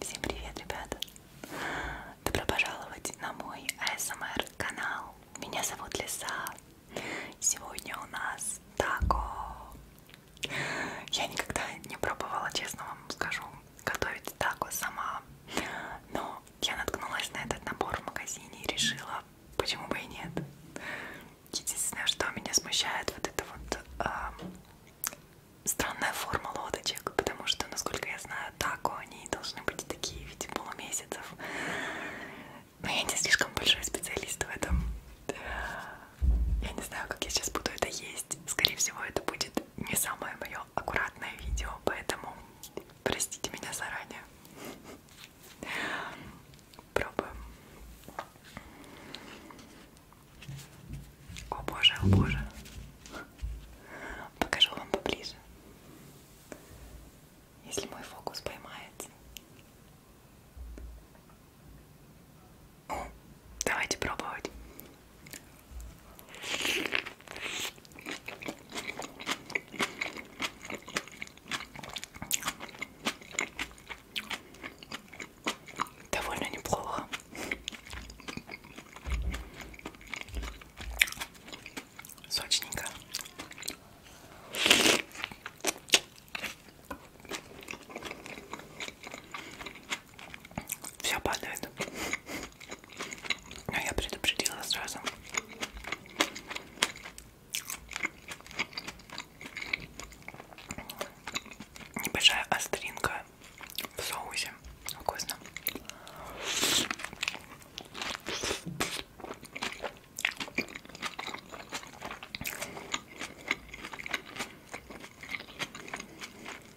Всем привет, ребята! Добро пожаловать на мой ASMR канал. Меня зовут Лиса. Сегодня у нас тако. Я никогда не пробовала, честно вам скажу готовить тако сама. Но я наткнулась на этот набор в магазине и решила, почему бы и нет. Единственное, что меня смущает, вот это вот э, странная форма лодочек, потому что, насколько я знаю, тако они должны быть такие в виде полумесяцев. Но я не слишком большой специалист в этом. Я не знаю, как я сейчас буду это есть. Скорее всего, это будет не самое мое аккуратное видео, поэтому простите меня заранее. Пробуем. О боже, о боже. Покажу вам поближе. Если мой фокус поймается. Давайте пробовать. Довольно неплохо. Сочненько. Все падает. Но а я предупредила сразу. Небольшая остринка в соусе. Вкусно.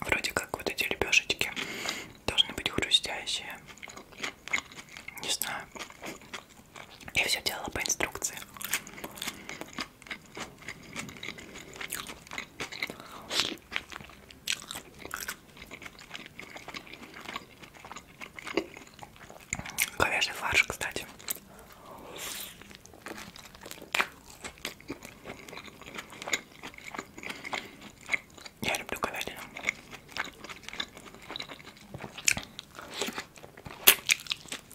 Вроде как вот эти лепешечки должны быть хрустящие. Не знаю. Я все делала по инструкции. Говяжий фарш, кстати. Я люблю говядину.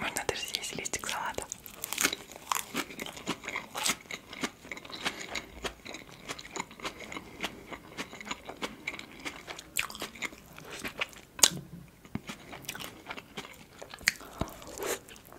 Можно даже съесть листик салата.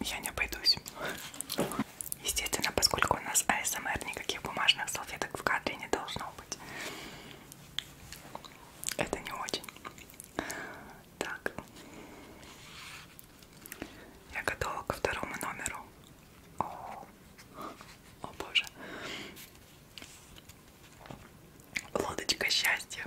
я не обойдусь. Естественно, поскольку у нас АСМР, никаких бумажных салфеток в кадре не должно быть. Это не очень. Так. Я готова ко второму номеру. О, о боже. Лодочка счастья.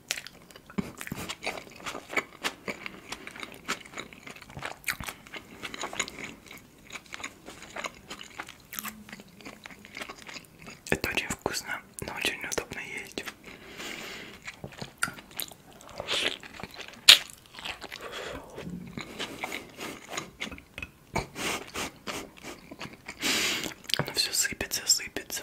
Это очень вкусно, но очень удобно есть. Оно все сыпется, сыпется.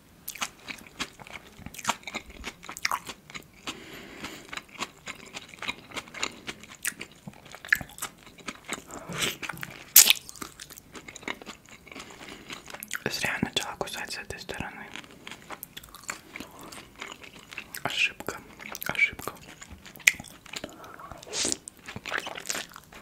Зря я начала кусать с этой стороны. Ошибка, ошибка.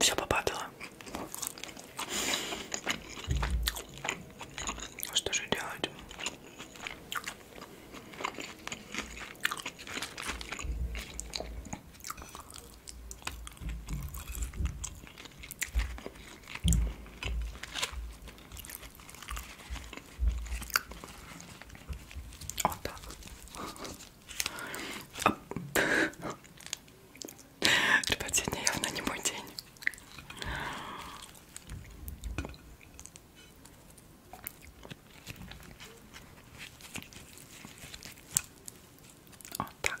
Все попадало. Что же делать? Вот так. Ребят, сегодня явно не мой день. Вот так.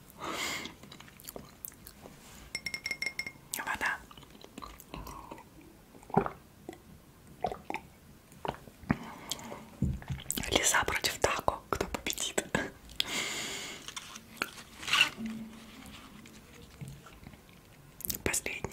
Вода. Лиса против Тако. Кто победит? Последний.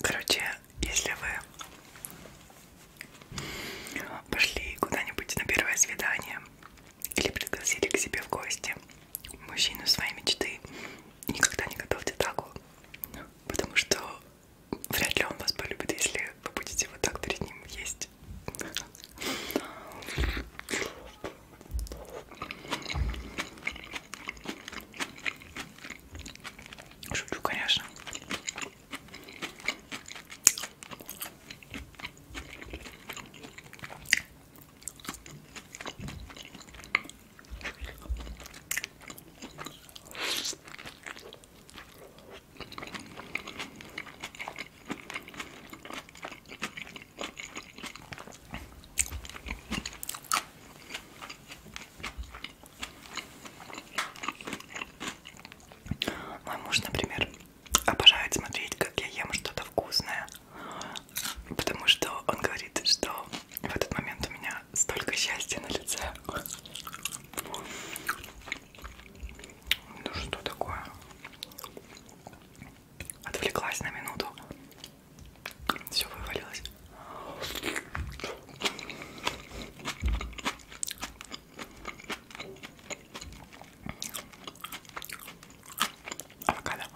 Короче, если вы пошли куда-нибудь на первое свидание или пригласили к себе в гости мужчину своей мечты, никогда не готовьте таку, потому что вряд ли он вас полюбит, если вы будете вот так перед ним есть. Шучу, конечно. Мой муж, например, обожает смотреть, как я ем что-то вкусное, потому что он говорит, что в этот момент у меня столько счастья на лице. Ну что такое? Отвлеклась на минуту. Все вывалилось. Авокадо.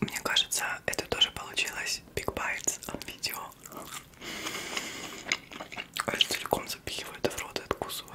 Мне кажется, это тоже получилось Big Bites от а, видео. Я целиком запихиваю это в рот и откусываю.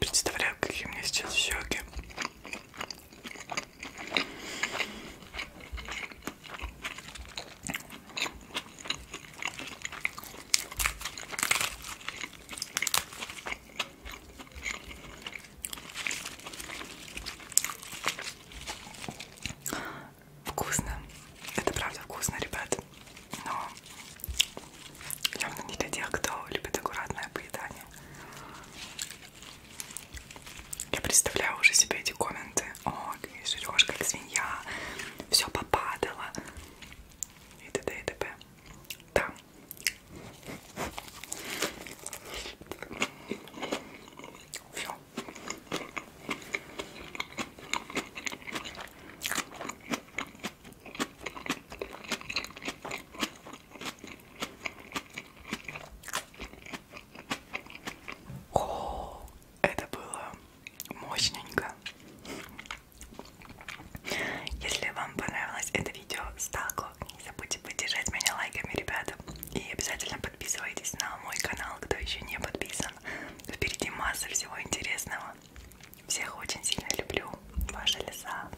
Представляю, какие у меня сейчас щеки. Вкусно. Это правда вкусно, ребят. Но явно не для тех, кто любит аккуратное поедание. Я представляю уже себе эти комменты. О, жрешь как свинья, все попадало і т.д. і т.п. Там. Все. О, это было мощненько. Если вам понравилось это видео, сталку, не забудьте поддержать меня лайками, ребята. И обязательно подписывайтесь на мой канал, кто еще не подписан. Впереди масса всего интересного. Всех очень сильно люблю. Ваша лиса.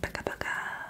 Пока-пока.